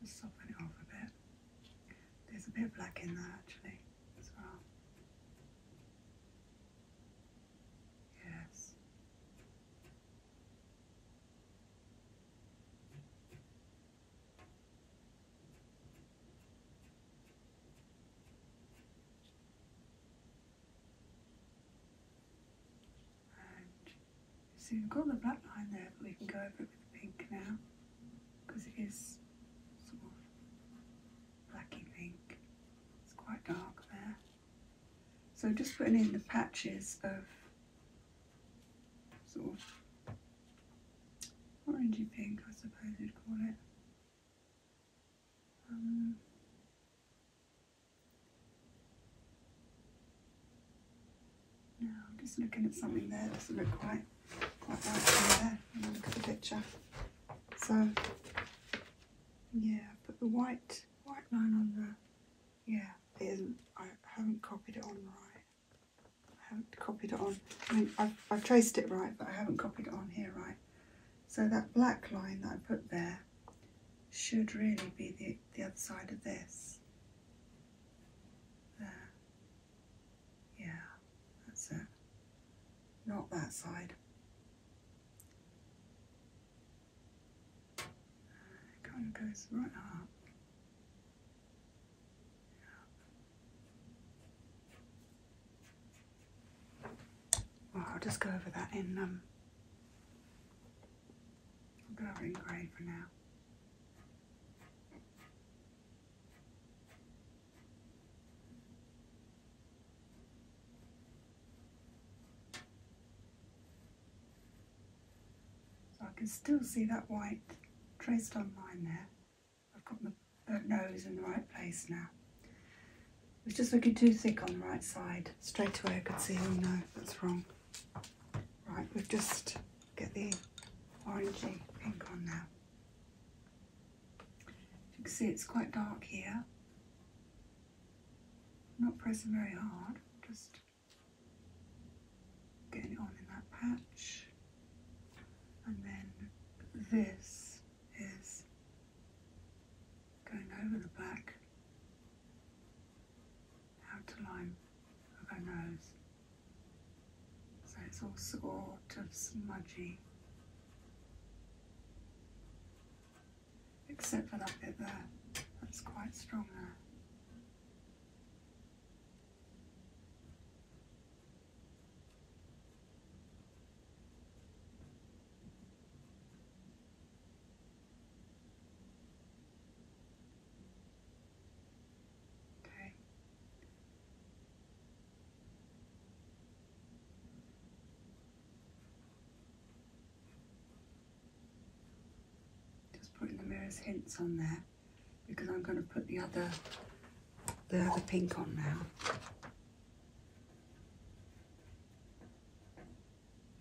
Just soften it off a bit. There's a bit of black in there actually as well. Yes so we've got the black line there, but we can go over it with the pink now because it is sort of blacky pink. It's quite dark there. So just putting in the patches of sort of orangey pink, I suppose you'd call it. Um, no, I'm just looking at something there. Doesn't look quite quite right from there. When I look at the picture. So yeah, but the white white line on there. yeah, it isn't. I haven't copied it on right. I haven't copied it on. I mean, I've, I've traced it right, but I haven't copied it on here right. So that black line that I put there should really be the, the other side of this. There. Yeah, that's it. Not that side. It kind of goes right up. Oh, I'll just go over that in, um, I'll go over in grey for now. So I can still see that white traced on line there. I've got but no, it's in the right place now. It's just looking too thick on the right side. Straight away I could see, oh no, that's wrong. Right, we have just get the orangey pink on now. You can see it's quite dark here. not pressing very hard, just getting it on in that patch. And then this is going over the back, outer line of her nose. So it's all sort of smudgy. Except for that bit there, that's quite strong there. Okay. Just putting the mirror's hints on there because I'm going to put the other they the pink on now.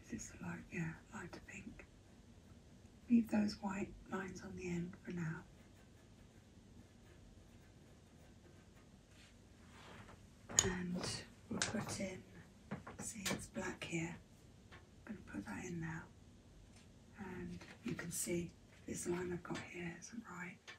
This is light, yeah, lighter pink. Leave those white lines on the end for now. And we'll put in, see it's black here. I'm going to put that in now. And you can see this line I've got here isn't right.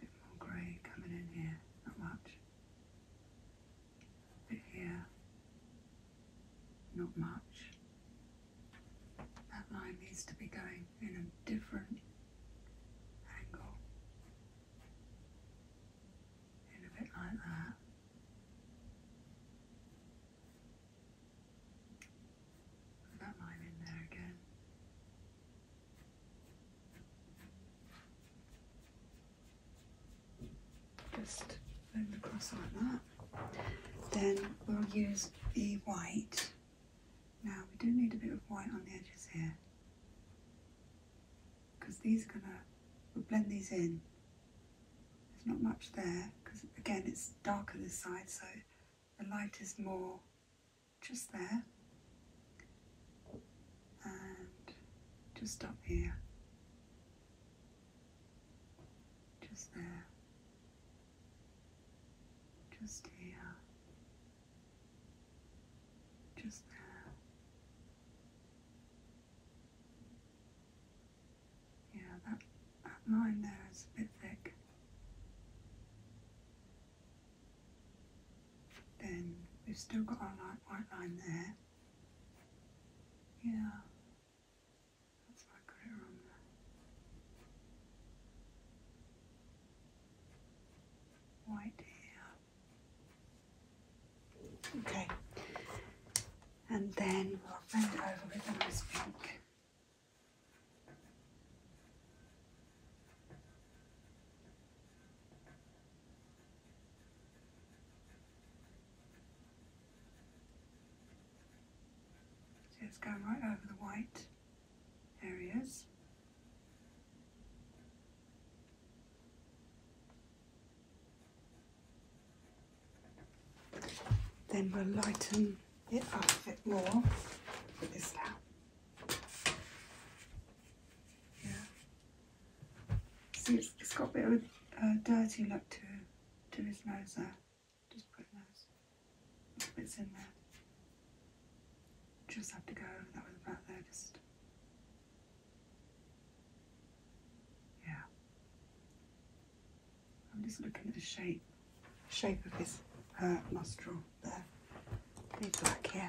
bit more grey coming in here, not much. A bit here, not much. That line needs to be going in a different angle. In a bit like that. That line in there again. Just fold across like that. Then we'll use the white. Now we do need a bit of white on the edges here because these are gonna we blend these in. There's not much there because again it's darker this side so the light is more just there and just up here just there just here just there yeah that, that line there is a bit thick then we've still got our light white line there. Yeah. That's why I got it wrong White here. Okay. And then we'll bend over with a nice pink. So it's going right over the white areas. Then we'll lighten it up a bit more with this now. Yeah. See, it's got a bit of a, dirty look to, to his nose there. Just put those bits in there. Just have to go over that with a breath there, just. Yeah. I'm just looking at the shape, shape of his uh, nostril there. Big black here.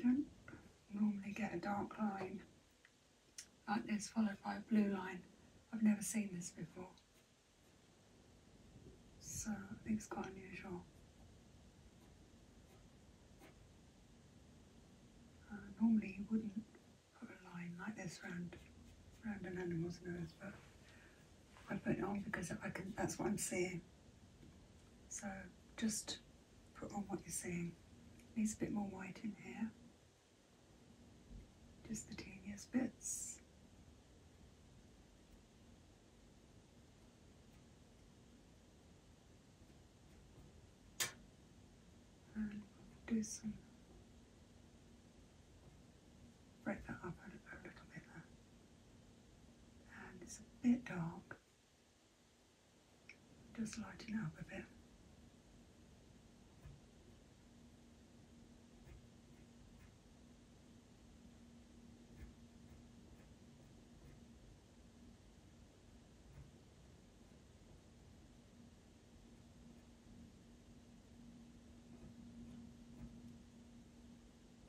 Don't normally get a dark line like this followed by a blue line. I've never seen this before. So I think it's quite unusual. Uh, normally you wouldn't put a line like this round, round an animal's nose, but I put it on because I can, that's what I'm seeing. So just put on what you're seeing. Needs a bit more white in here. Just the teeniest bits. And do some break that up a, little bit there. And it's a bit dark. Just lighting up a bit.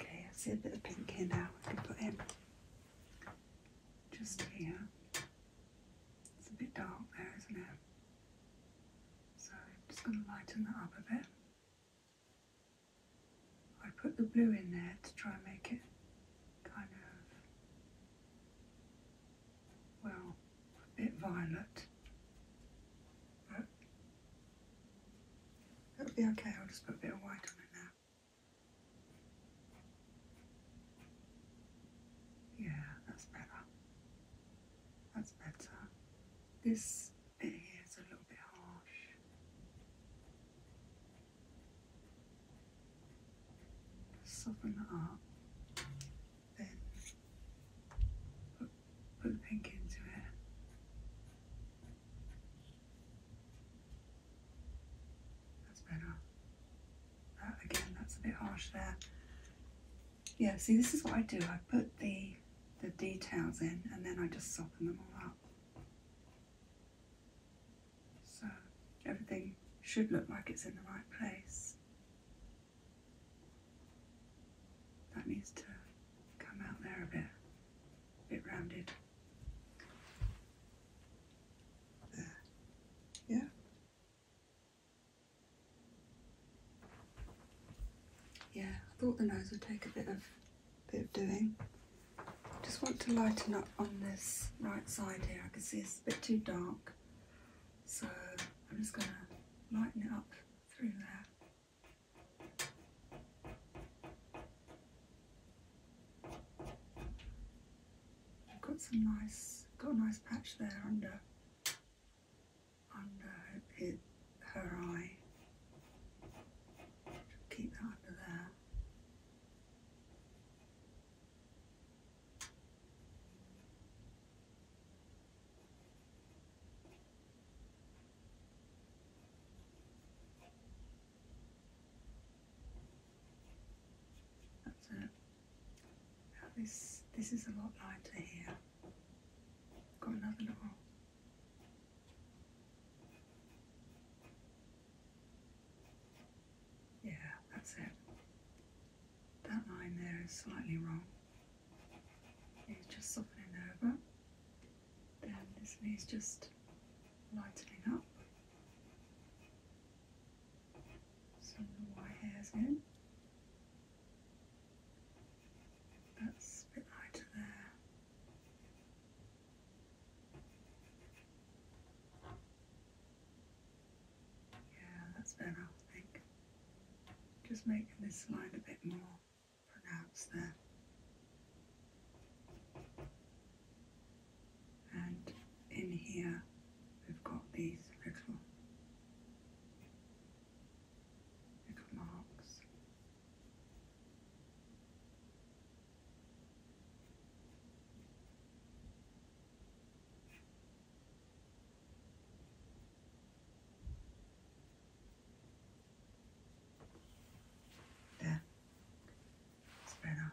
Okay, I see a bit of pink in there. I can put in just here. It's a bit dark there, isn't it? So I'm just going to lighten that up a bit. I put the blue in there to try and make it kind of, well, a bit violet. But it'll be okay, I'll just put a bit of white on it now. Yeah, that's better. That's better. This bit here is a little bit harsh. Soften that up, then put, put the pink into it. That's better. again, that's a bit harsh there. Yeah, see this is what I do. I put the, the details in and then I just soften them all up. So everything should look like it's in the right place. That needs to come out there a bit, a bit rounded. Yeah. Yeah, I thought the nose would take a bit of bit of doing. Just want to lighten up on this right side here. I can see it's a bit too dark. So I'm just gonna lighten it up through there. I've got some nice, got a nice patch there under, under her eye. Keep that under there. That's it. this, this is a lot lighter here. Got another little Yeah, that's it. That line there is slightly wrong. Yeah, just softening over this way is just lightening up. Some the white hairs in. That's a bit lighter there. Yeah, that's better I think. Just making this slide a bit more pronounce there. And in here we've got these little little marks. There. It's better.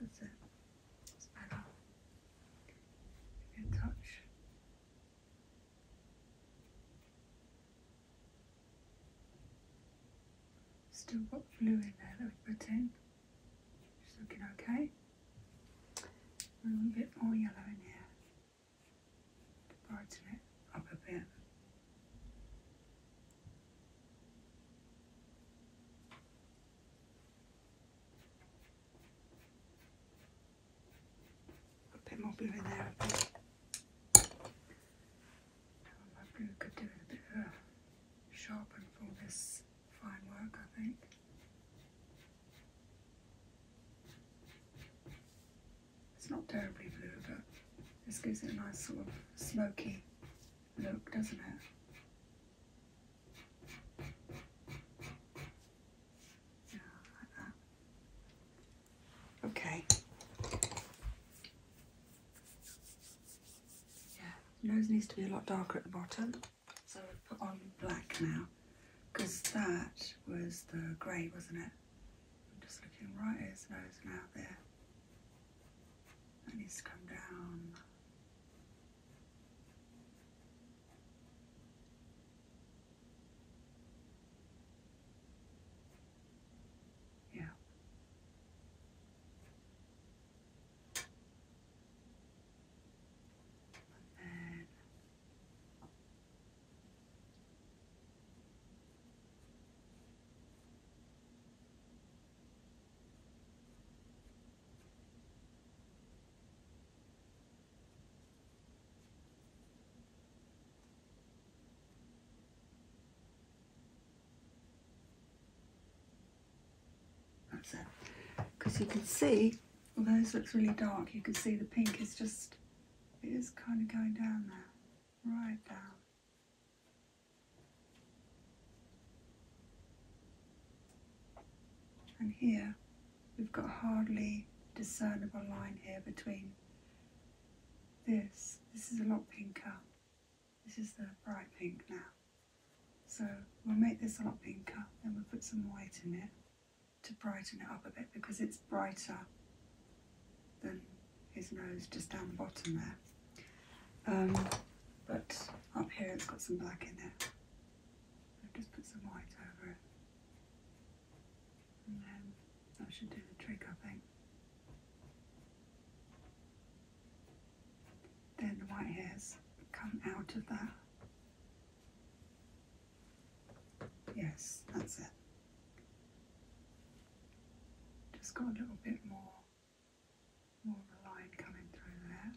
That's it. It's better. Give it a touch. Still got fluid there that we put in. It's looking okay. A little bit more yellow in here. Department of a pen. A bit more blue there, My blue could do a bit of sharpen for this fine work, I think. It's not terribly blue, but this gives it a nice sort of smoky look, doesn't it? Yeah, like that. Okay. Yeah, nose needs to be a lot darker at the bottom. So I put on black now, because that was the grey, wasn't it? I'm just looking right at his nose now there. That needs to come down. Yeah. And then because you can see, although this looks really dark, you can see the pink is just, it is kind of going down there right down. And here we've got hardly discernible line here between this. This is a lot pinker. This is the bright pink now. So we'll make this a lot pinker, then we'll put some white in it to brighten it up a bit because it's brighter than his nose just down the bottom there. Um, but up here it's got some black in it. I've just put some white over it. And then that should do the trick, I think. Then the white hairs come out of that. Yes, that's it. Just got a little bit more, more of a line coming through there.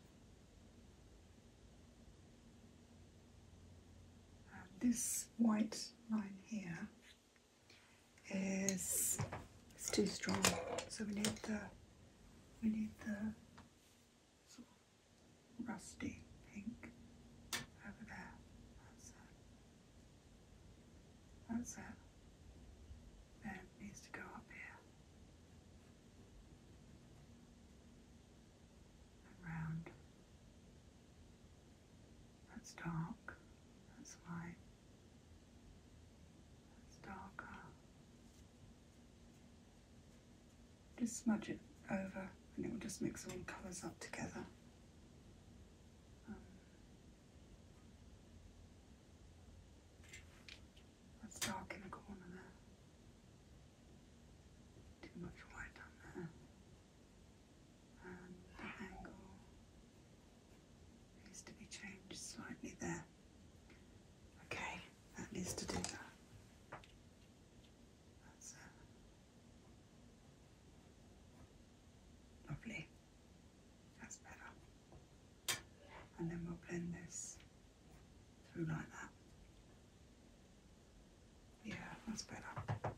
Uh, this white line here is it's too strong, so we need the we need the sort of rusty pink over there. That's it. Then it needs to go up here. And That's dark. That's light. That's darker. Just smudge it over and it will just mix all the colours up together. It's um, dark in the corner there. Too much white on there. And the angle needs to be changed slightly there. Okay, that needs to do that. That's it. Lovely. That's better. And then we'll blend this through like that. Yeah, that's better.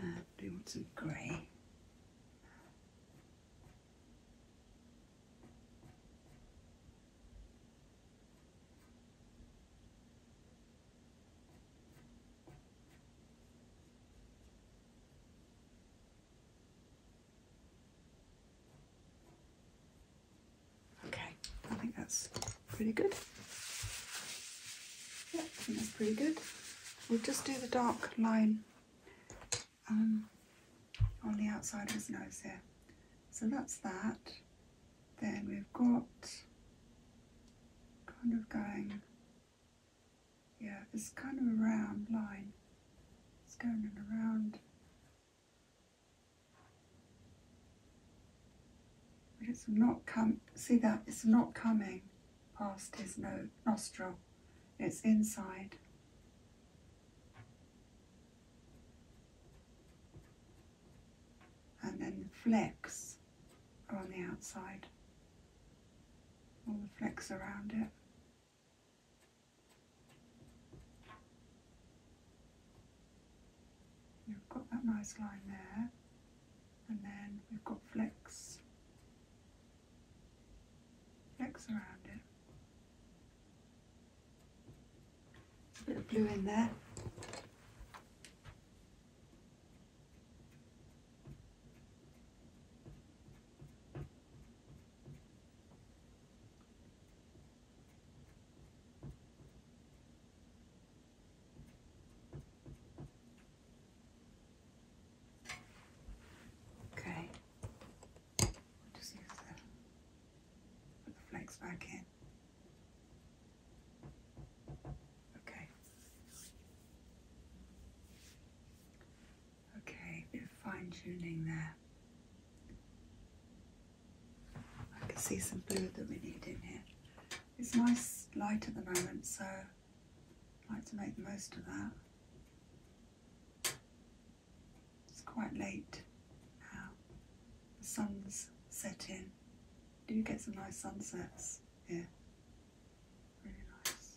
And uh, do want some grey. Okay, I think that's pretty good. Yeah, I think that's pretty good. We'll just do the dark line um, on the outside of his nose here. So that's that. Then we've got kind of going, yeah, it's kind of a round line. It's going around. But it's not come, see that, it's not coming past his no nostril. It's inside and then the flecks are on the outside. All the flecks around it. You've got that nice line there and then we've got flecks. Flecks around it. A bit of blue in there. Okay. Just put the flakes back in. Okay. Okay. bit of fine tuning there. I can see some blue that we need in here. It's nice light at the moment, so I'd like to make the most of that. It's quite late now. The sun's set in do you get some nice sunsets here. Really nice.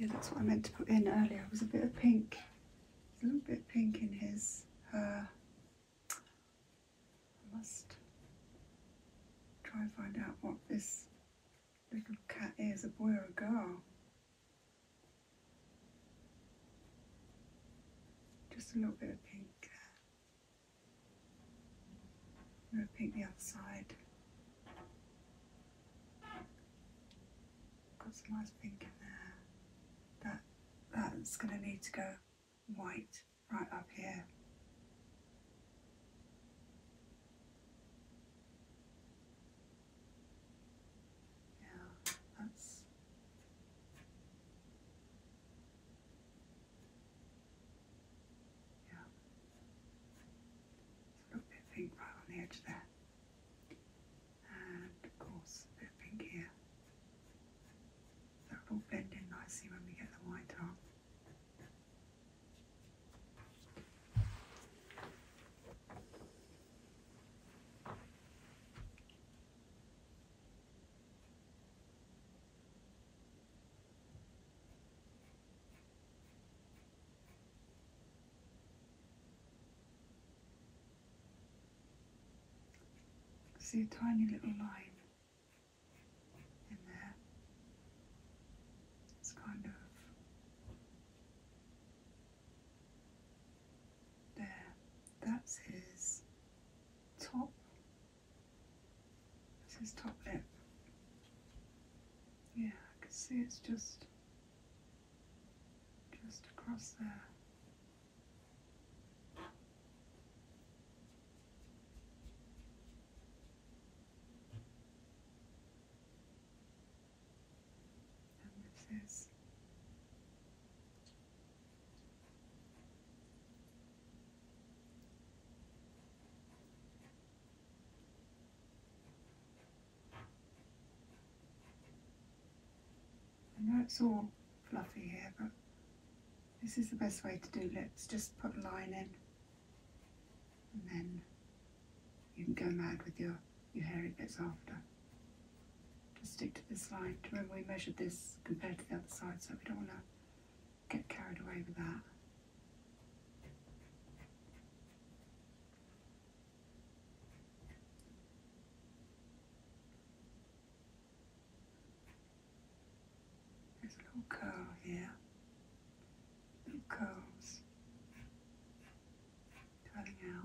Yeah, that's what I meant to put in earlier. It was a bit of pink, a little bit pink in his hair. Uh, I must try and find out what this Little cat is a boy or a girl. Just a little bit of pink. gonna uh, pink the other side. Got some nice pink in there. That that's gonna need to go white right up here. Yeah, that's yeah. a little bit pink right on the edge there. And of course a bit pink here. They'll all blend nicely when we get the white on. See a tiny little line and that is kind of there. That's his top. That's his top lip. Yeah, I can see it's just just across there. And this I know it's all fluffy here, but this is the best way to do Let's Just put a line in. And then you can go mad with your, your hairy bits after. Just stick to this line. Remember we measured this compared to the other side, so we don't want to get carried away with that. There's a little curl here. Little curls. Turning out.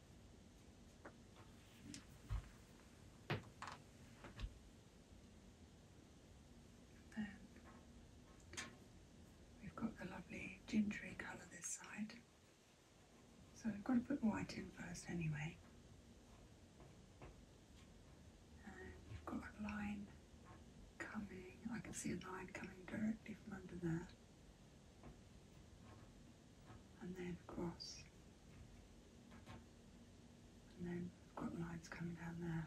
Then um, we've got the lovely gingery colour this side. So I've got to put the white in first anyway. we've got a line coming, I can see a line coming directly from under there and then across. And then I've got coming down there.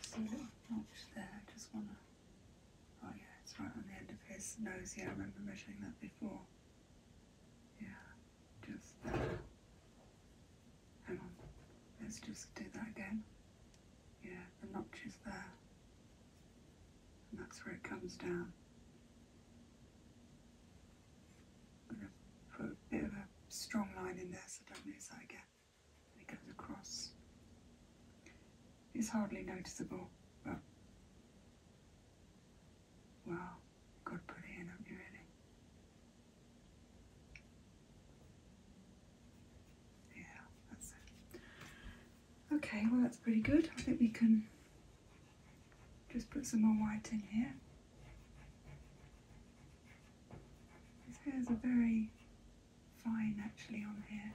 see a notch there, just wanna, oh yeah, it's right on the end of his nose, yeah, I remember measuring that before. Yeah, just Hang on, let's just do that again. Yeah, the notch is there. And that's where it comes down. Put a bit of a strong line in there so don't lose that again. It goes across. It's hardly noticeable, but well, God put it in, haven't you really? Yeah, that's it. Okay, well that's pretty good. I think we can just put some more white in here. These hairs are very fine actually on here.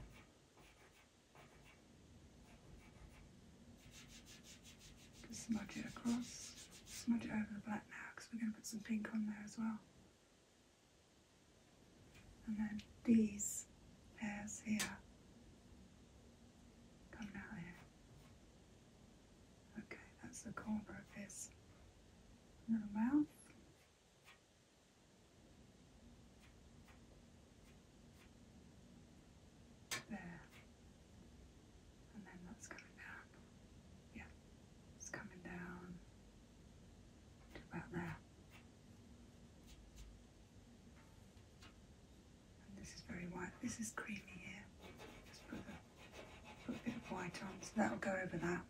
Just smudge it across, smudge it over the black now because we're going to put some pink on there as well. And then these hairs here Coming out here. Okay, that's the corner of his little mouth. There. And then that's coming down. Yeah, it's coming down about there this is very white. This is creamy here. Just put, the, put a bit of white on, so that'll go over that.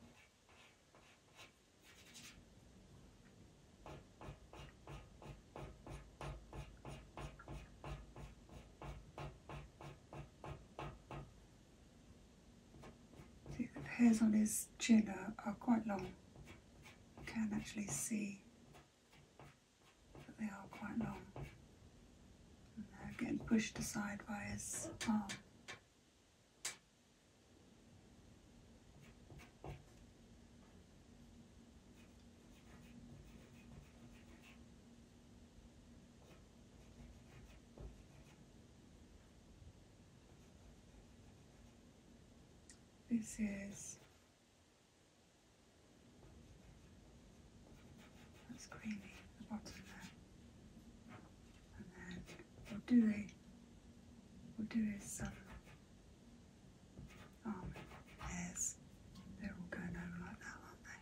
See the hairs on his chin are, quite long. You can actually see but they are quite long. And they're getting pushed aside by his arm. This is that's creamy, the bottom there. And then we do a we do is some hairs. They're all going over like that, aren't they?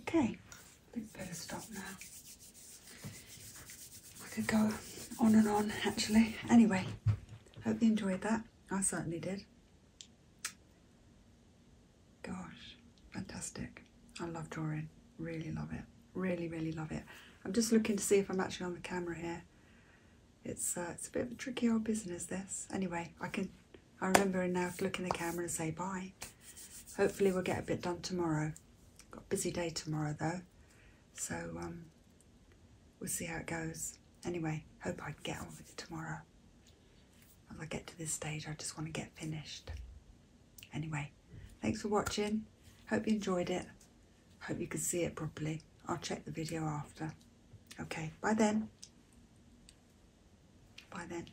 Okay, I think better stop now. I could go on and on actually. Anyway, hope you enjoyed that. I certainly did. Gosh, fantastic. I love drawing. Really love it. Really, really love it. I'm just looking to see if I'm actually on the camera here. It's uh, it's a bit of a tricky old business this. Anyway, I can I remember now to look in the camera and say bye. Hopefully we'll get a bit done tomorrow. Got busy day tomorrow though, so um, we'll see how it goes. Anyway, hope I get on with it tomorrow. As I get to this stage, I just want to get finished. Anyway, thanks for watching. Hope you enjoyed it. Hope you can see it properly. I'll check the video after. Okay, bye then. Bye then.